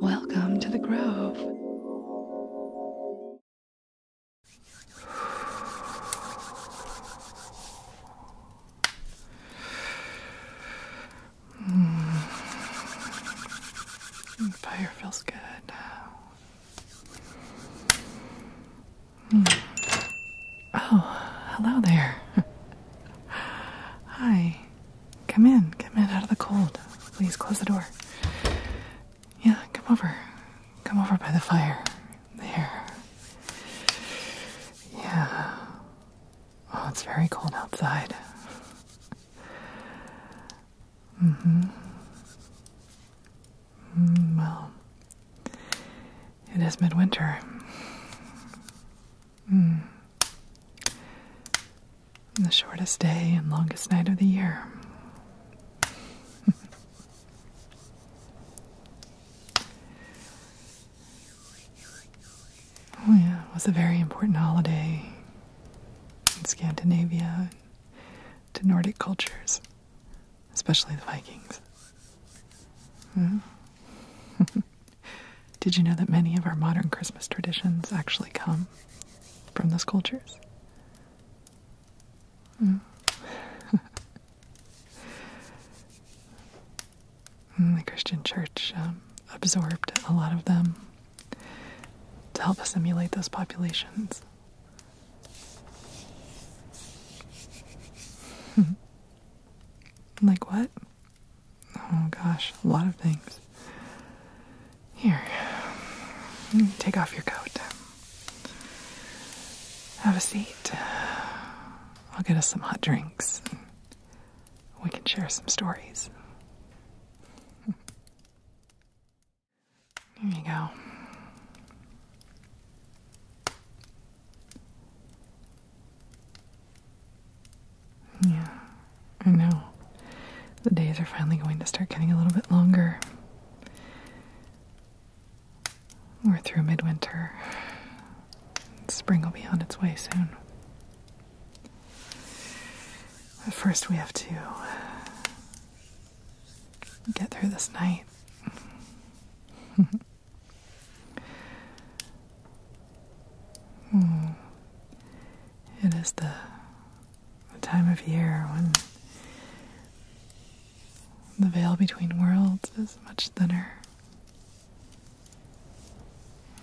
Welcome to the Grove. Mm. Fire feels good. Mm. Oh, hello there. Hi. Come in. Come in out of the cold. Please close the door. Yeah, come over. Come over by the fire. There. Yeah. Oh, it's very cold outside. Mm-hmm. Mm hmm. well, it is midwinter. Hmm. The shortest day and longest night of the year. oh, yeah, it was a very important holiday in Scandinavia to Nordic cultures, especially the Vikings. Hmm. Did you know that many of our modern Christmas traditions actually come from those cultures? Hmm. Hmm, the Christian church um, absorbed a lot of them to help assimilate those populations. like what? Oh gosh, a lot of things. Here, take off your coat. Have a seat. I'll get us some hot drinks. We can share some stories. Here you go. Yeah, I know. The days are finally going to start getting a little bit longer. We're through midwinter. Spring will be on its way soon. But first, we have to get through this night. Hmm. It is the time of year when the veil between worlds is much thinner.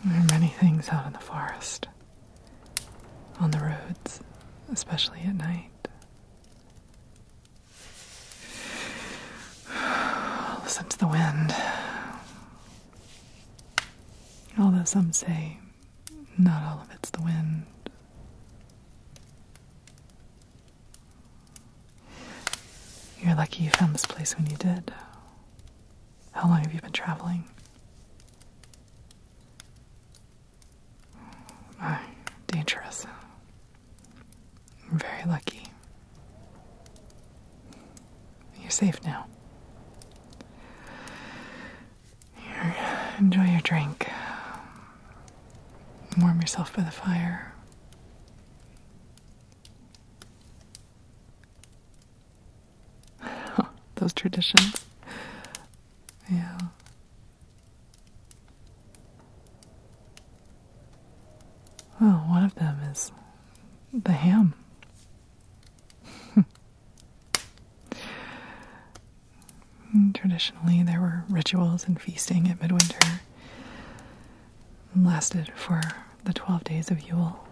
There are many things out in the forest, on the roads, especially at night. Listen to the wind. Although some say not all of it's the wind. You're lucky you found this place when you did. How long have you been traveling? My, ah, dangerous. very lucky. You're safe now. Here, enjoy your drink. Warm yourself by the fire. Those traditions. Yeah. Well, one of them is the ham. Traditionally, there were rituals and feasting at midwinter and lasted for the 12 days of Yule.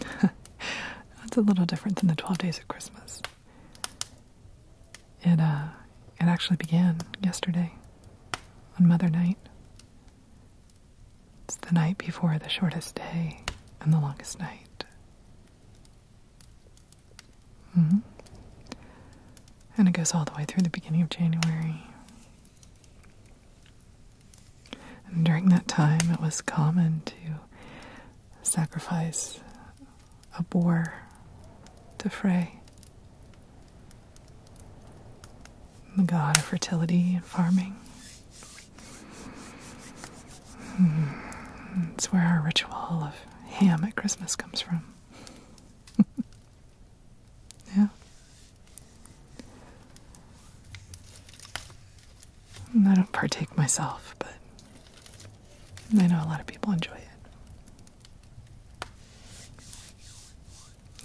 That's a little different than the 12 days of Christmas. It, uh, it actually began yesterday on Mother Night. It's the night before the shortest day and the longest night. Mm-hmm. And it goes all the way through the beginning of January. And during that time, it was common to sacrifice a boar to Frey the god of fertility and farming. Hmm. It's where our ritual of ham at Christmas comes from. yeah. I don't partake myself, but I know a lot of people enjoy it.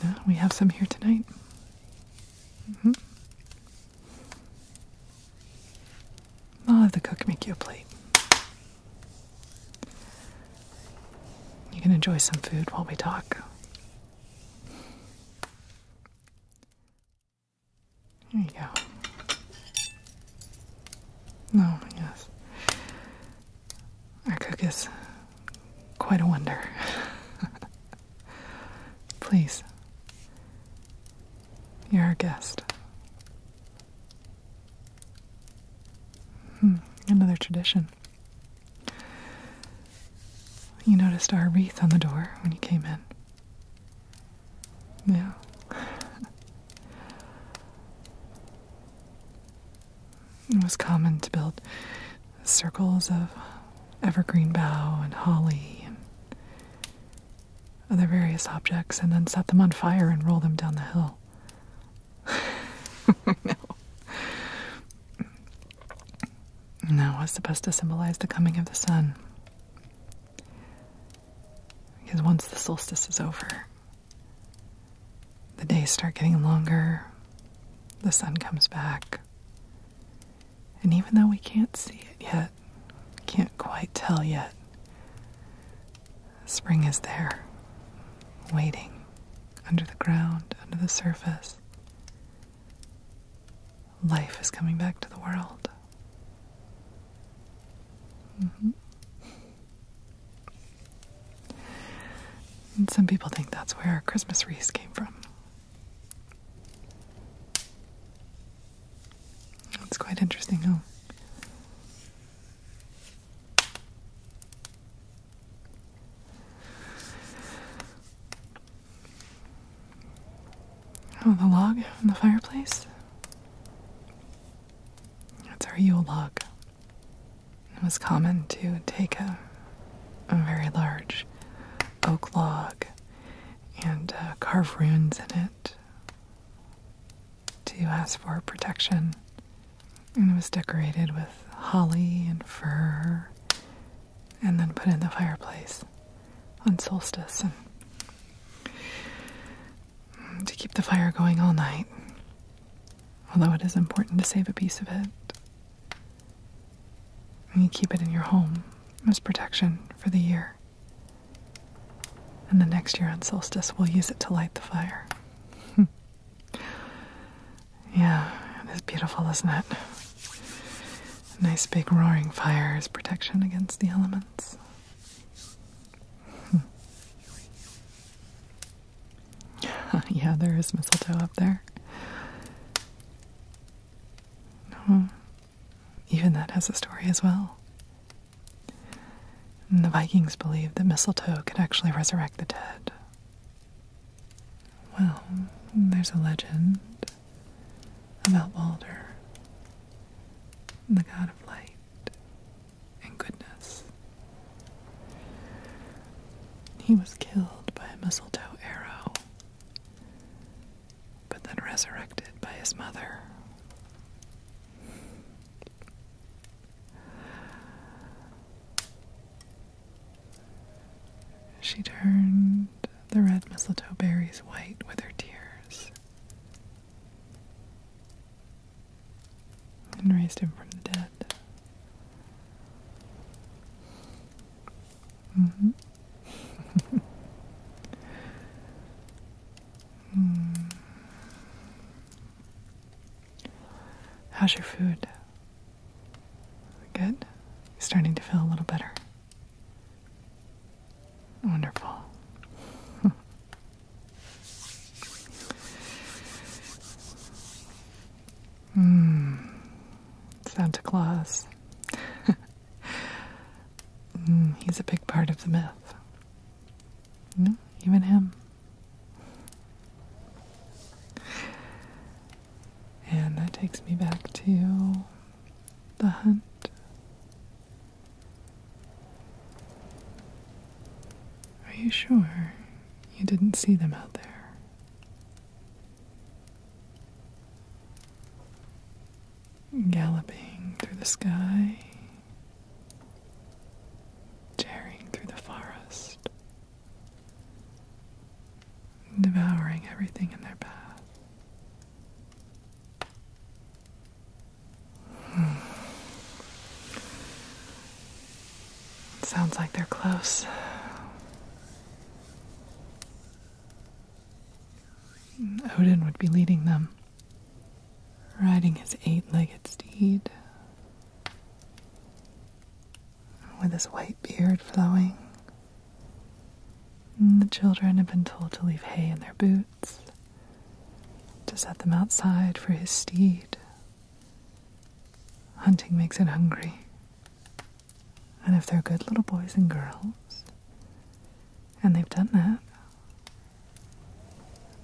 Yeah, we have some here tonight. -hmm. I'll have the cook make you a plate. You can enjoy some food while we talk. There you go. No, oh, yes. Our cook is quite a wonder. Please. You're our guest. Hmm, another tradition. You noticed our wreath on the door when you came in. Yeah. it was common to build circles of evergreen bough and holly and other various objects, and then set them on fire and roll them down the hill. no. no, Now, what's supposed to symbolize the coming of the sun? Because once the solstice is over, the days start getting longer, the sun comes back, and even though we can't see it yet, can't quite tell yet, spring is there, waiting under the ground, under the surface. Life is coming back to the world. Mm-hmm. some people think that's where our Christmas wreaths came from. It's quite interesting, huh? Oh, the log in the fireplace? That's our Yule log. It was common to take a very large oak log and uh, carve runes in it to ask for protection. And it was decorated with holly and fir, and then put in the fireplace on solstice to keep the fire going all night. Although it is important to save a piece of it and you keep it in your home as protection for the year. And the next year on solstice, we'll use it to light the fire. yeah, it is beautiful, isn't it? nice big roaring fire as protection against the elements. yeah, there is mistletoe up there. No, even that has a story as well. the Vikings believed that mistletoe could actually resurrect the dead. Well, there's a legend about Balder, the god of light and goodness. He was killed by a mistletoe arrow but then resurrected by his mother. She turned the red mistletoe berries white with her tears and raised him from the dead. Mm -hmm. How's your food? Good? starting to feel a little better. Wonderful. mm. Santa Claus. Mm, he's a big part of the myth. even him. And that takes me back to the hunt. Are you sure you didn't see them out there? galloping through the sky, tearing through the forest, devouring everything in their path. Hmm. Sounds like they're close. Odin would be leading them, riding his eight legged steed with his white beard flowing. the children have been told to leave hay in their boots, to set them outside for his steed. Hunting makes it hungry. And if they're good little boys and girls, and they've done that,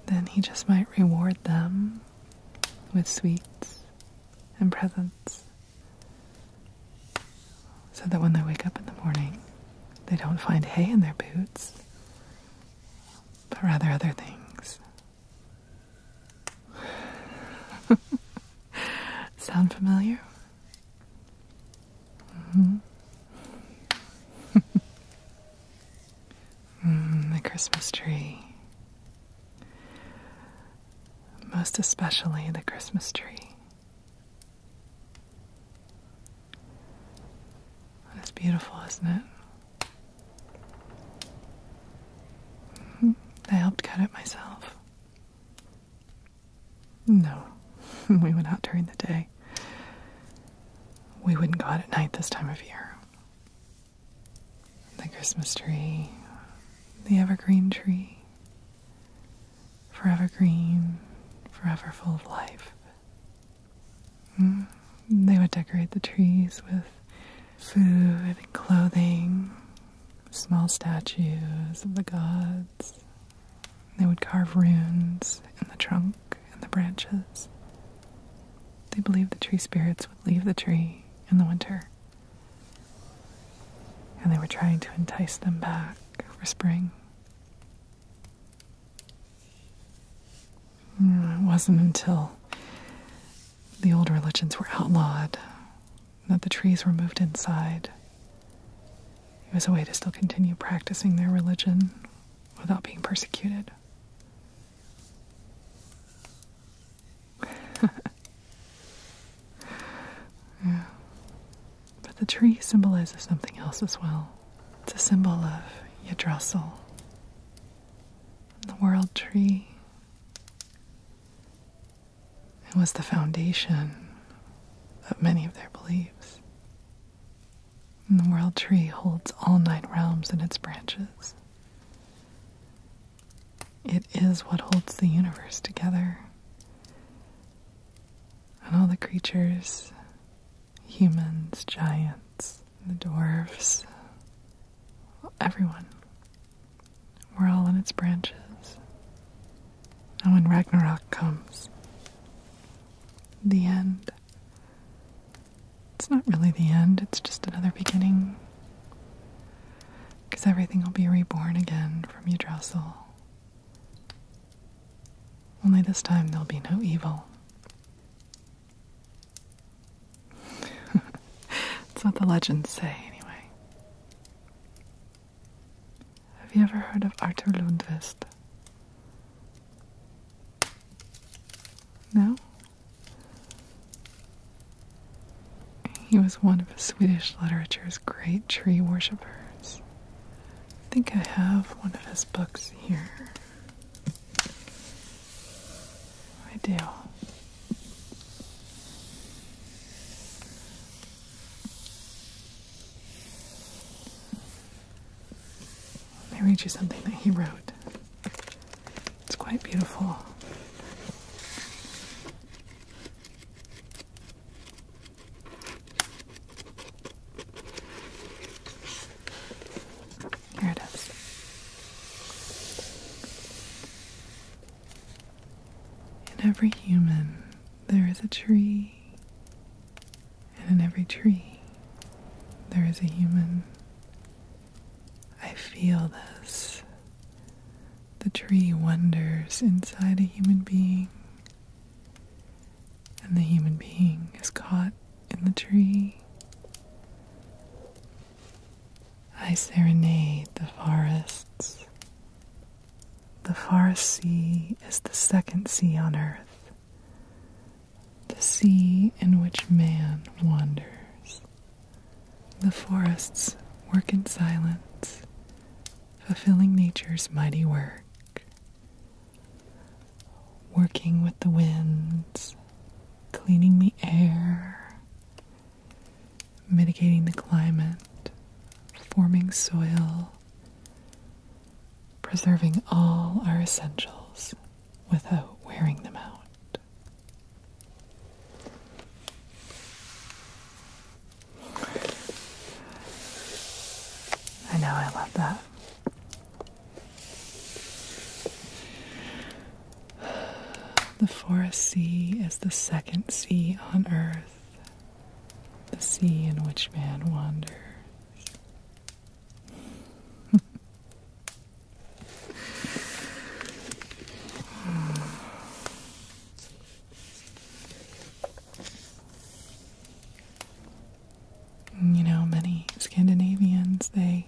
then he just might reward them with sweets and presents so that when they wake up in the morning, they don't find hay in their boots, but rather other things. Sound familiar? Mm-hmm. Mm, the Christmas tree. Most especially the Christmas tree. It's beautiful, isn't it? Mm-hmm. I helped cut it myself. No, we went out during the day. We wouldn't go out at night this time of year. The Christmas tree, the evergreen tree, forever green, forever full of life. Mm, they would decorate the trees with food and clothing, small statues of the gods. They would carve runes in the trunk and the branches. They believed the tree spirits would leave the tree in the winter. And they were trying to entice them back for spring. Mm, it wasn't until the old religions were outlawed that the trees were moved inside. It was a way to still continue practicing their religion without being persecuted. But the tree symbolizes something else as well. It's a symbol of Yggdrasil, the world tree. It was the foundation of many of their beliefs. And the world tree holds all nine realms in its branches. It is what holds the universe together. And all the creatures humans, giants, the dwarves, everyone. We're all in its branches. And when Ragnarok comes, the end, it's not really the end, it's just another beginning. Because everything will be reborn again from Yggdrasil. Only this time there'll be no evil. That's what the legends say, anyway. Have you ever heard of Arthur Lundvist? No? He was one of Swedish literature's great tree worshippers. I think I have one of his books here. I do. Let me read you something that he wrote. It's quite beautiful. Here it is. In every human, there is a tree and in every tree there is a human. I feel this. The tree wanders inside a human being, and the human being is caught in the tree. I serenade the forests the Far Sea is the second sea on earth, the sea in which man wanders. The forests work in silence, fulfilling nature's mighty work. Working with the winds, cleaning the air, mitigating the climate, forming soil, preserving all our essentials without wearing them out. I know, I love that. The forest sea is the second sea on earth the sea in which man wanders. you know, many Scandinavians, they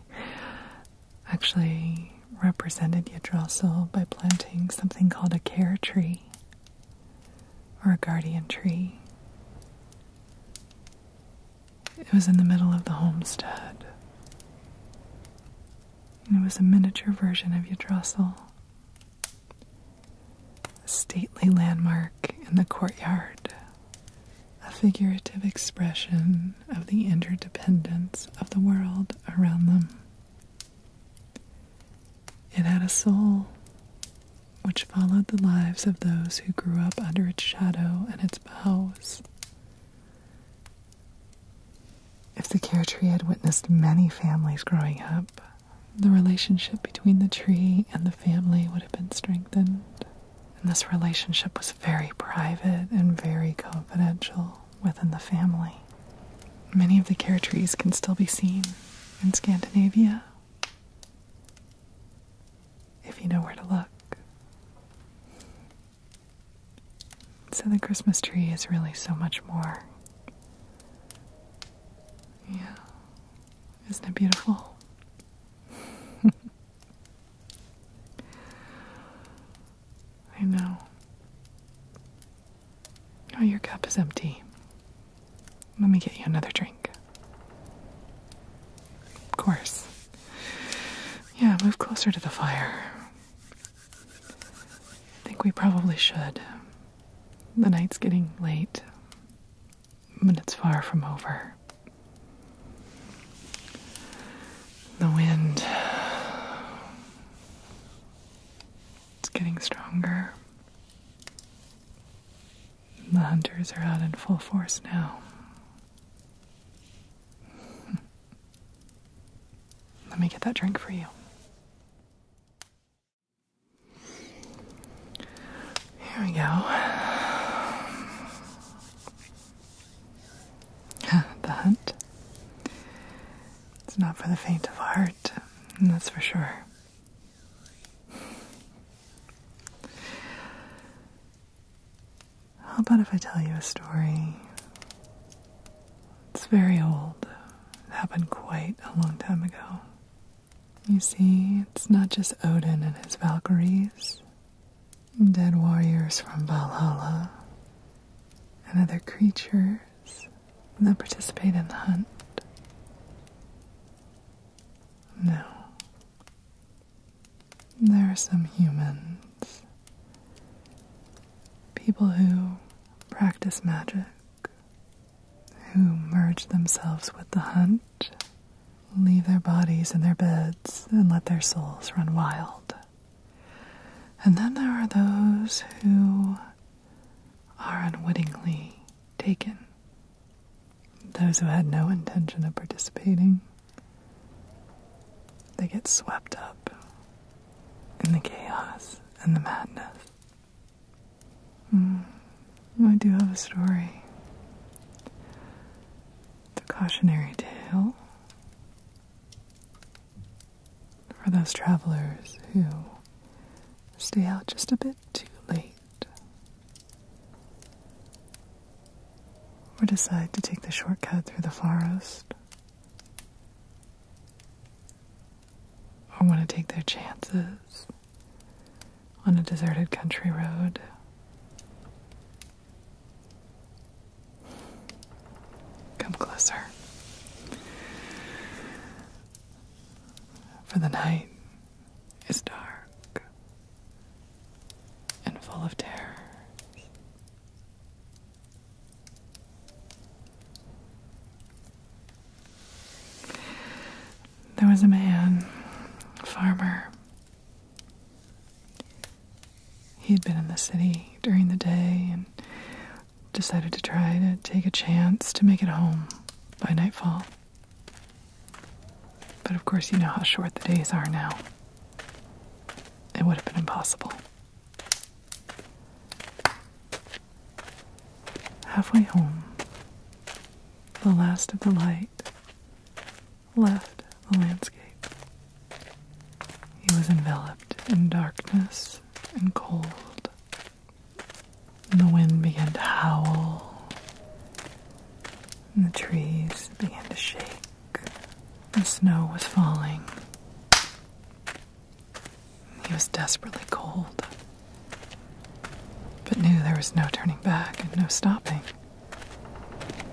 actually represented Yggdrasil by planting something called a care tree or a guardian tree. It was in the middle of the homestead. it was a miniature version of Yggdrasil, a stately landmark in the courtyard, a figurative expression of the interdependence of the world around them. It had a soul which followed the lives of those who grew up under its shadow and its boughs. If the care tree had witnessed many families growing up, the relationship between the tree and the family would have been strengthened. And this relationship was very private and very confidential within the family. Many of the care trees can still be seen in Scandinavia if you know where to look. So the Christmas tree is really so much more. Yeah. Isn't it beautiful? I know. Oh, your cup is empty. Let me get you another drink. Of course. Yeah, move closer to the fire. I think we probably should. The night's getting late, but it's far from over. The wind. It's getting stronger. The hunters are out in full force now. Let me get that drink for you. Here we go. the hunt. It's not for the faint of heart, that's for sure. How about if I tell you a story? It's very old. It happened quite a long time ago. You see, it's not just Odin and his Valkyries, dead warriors from Valhalla, and other creatures Will that participate in the hunt? No. There are some humans. People who practice magic, who merge themselves with the hunt, leave their bodies in their beds, and let their souls run wild. And then there are those who are unwittingly taken. Those who had no intention of participating, they get swept up in the chaos and the madness. Hmm, I do have a story. It's a cautionary tale for those travelers who Stay out just a bit too late. Or decide to take the shortcut through the forest. Or want to take their chances on a deserted country road. Come closer. For the night is dark and full of terror. There was a man, a farmer. He had been in the city during the day and decided to try to take a chance to make it home by nightfall. But of course, you know how short the days are now. It would have been impossible. Halfway home, the last of the light left the landscape. He was enveloped in darkness and cold. And the wind began to howl, and the trees began to shake. The snow was falling. He was desperately cold, but knew there was no turning back and no stopping.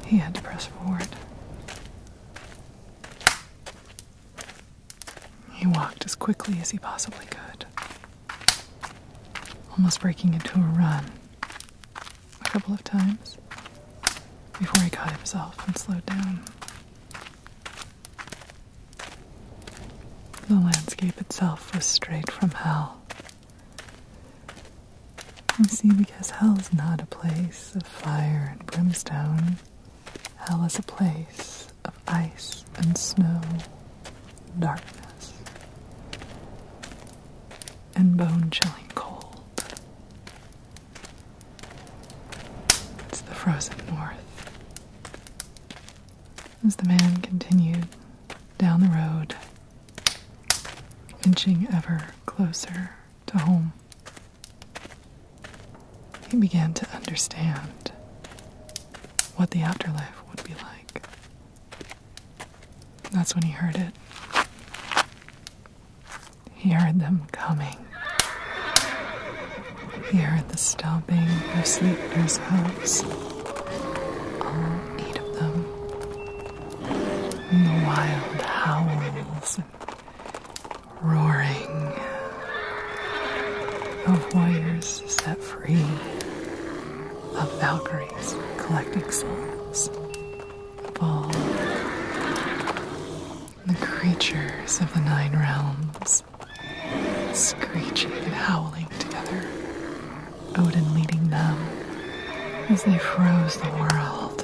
He had to press forward. He walked as quickly as he possibly could almost breaking into a run a couple of times before he caught himself and slowed down. The landscape itself was straight from hell. You see, because hell is not a place of fire and brimstone, hell is a place of ice and snow, darkness, and bone chilling cold. It's the frozen north. As the man continued down the road, inching ever closer to home, he began to understand what the afterlife would be like. That's when he heard it. He heard them coming. He heard the stomping of sleepers' hooves, All eight of them. And the wild howls roaring of warriors universe set free of Valkyries collecting souls of all the creatures of the Nine Realms, screeching and howling together, Odin leading them as they froze the world,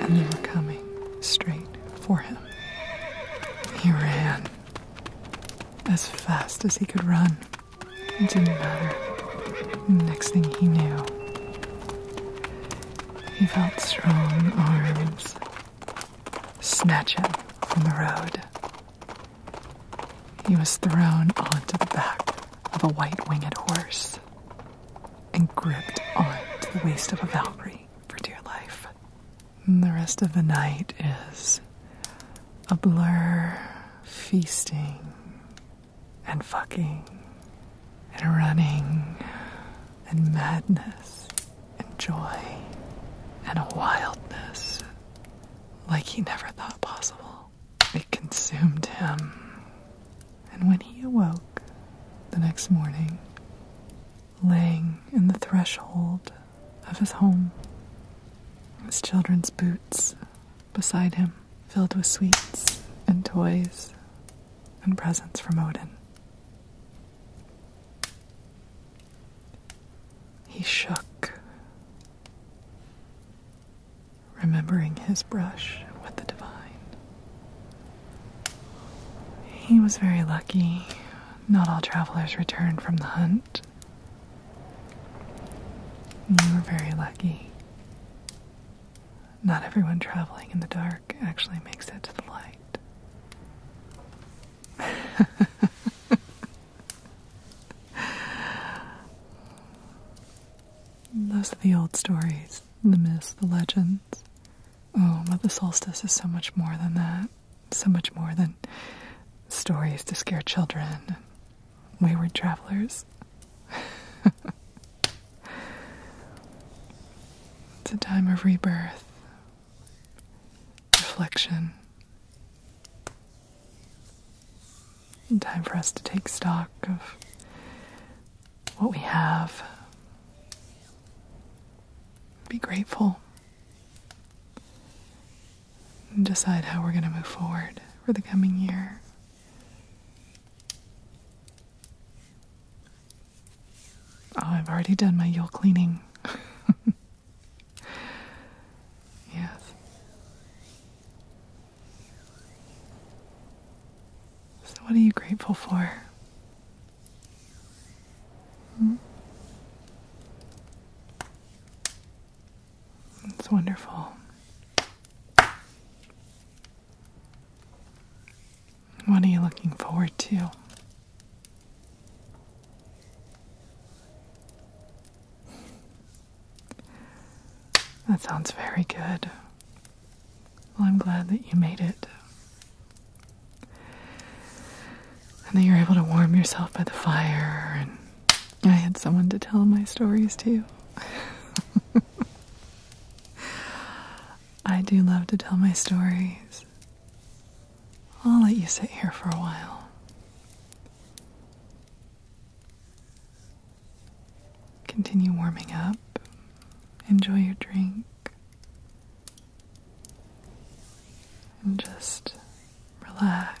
and they were coming straight for him. He ran as fast as he could run. It didn't matter. Next thing he knew, he felt strong arms snatch him from the road. He was thrown onto the back of a white winged horse and gripped onto the waist of a Valkyrie for dear life. And the rest of the night is a blur, feasting, and fucking, and running, and madness, and joy, and a wildness like he never thought possible. It consumed him. And when he awoke the next morning, laying in the threshold of his home, his children's boots beside him, filled with sweets and toys and presents from Odin. He shook, remembering his brush with the divine. He was very lucky. Not all travelers return from the hunt. You mm, were very lucky. Not everyone traveling in the dark actually makes it to the light. Those are the old stories, the myths, the legends. Oh, but the solstice is so much more than that so much more than stories to scare children and wayward travelers. it's a time of rebirth, reflection, time for us to take stock of what we have. Be grateful decide how we're going to move forward for the coming year. Oh, I've already done my Yule cleaning. yes. So, what are you grateful for? Hmm? It's wonderful. What are you looking forward to? That sounds very good. Well, I'm glad that you made it. And that you're able to warm yourself by the fire and I had someone to tell my stories to. I do love to tell my stories. I'll let you sit here for a while. Continue warming up. Enjoy your drink. And just relax.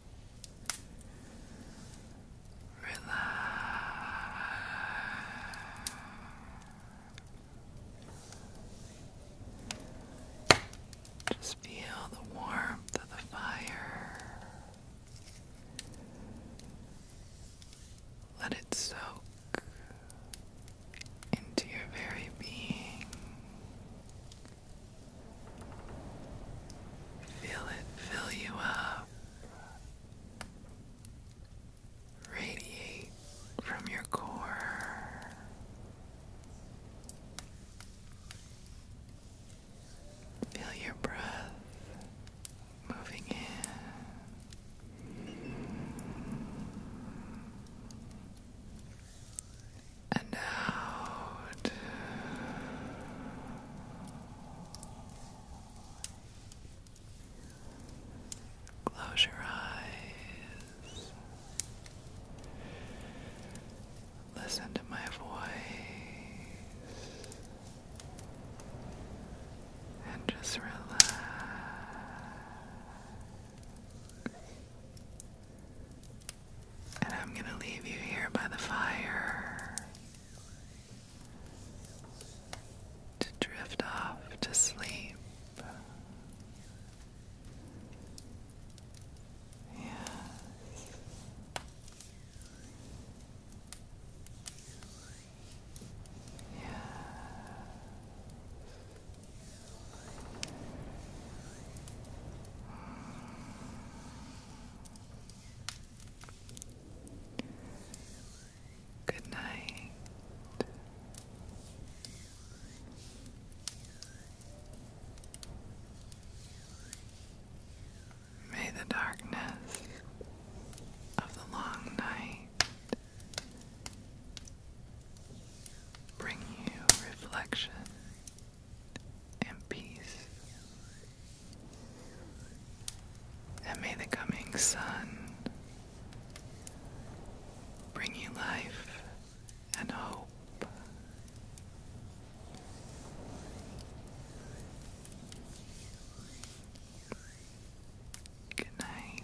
Relax. Just feel the warmth of the fire. Let it soak into your very being. Feel it fill you up. Radiate from your core. Feel your breath moving in and out. Close your eyes. Listen to my voice and just relax. And I'm going to leave you here by the fire to drift off to sleep. Yes. Yes. Good night. May the darkness of the long night bring you reflection and peace. And may the coming sun bring you life and hope. Good night.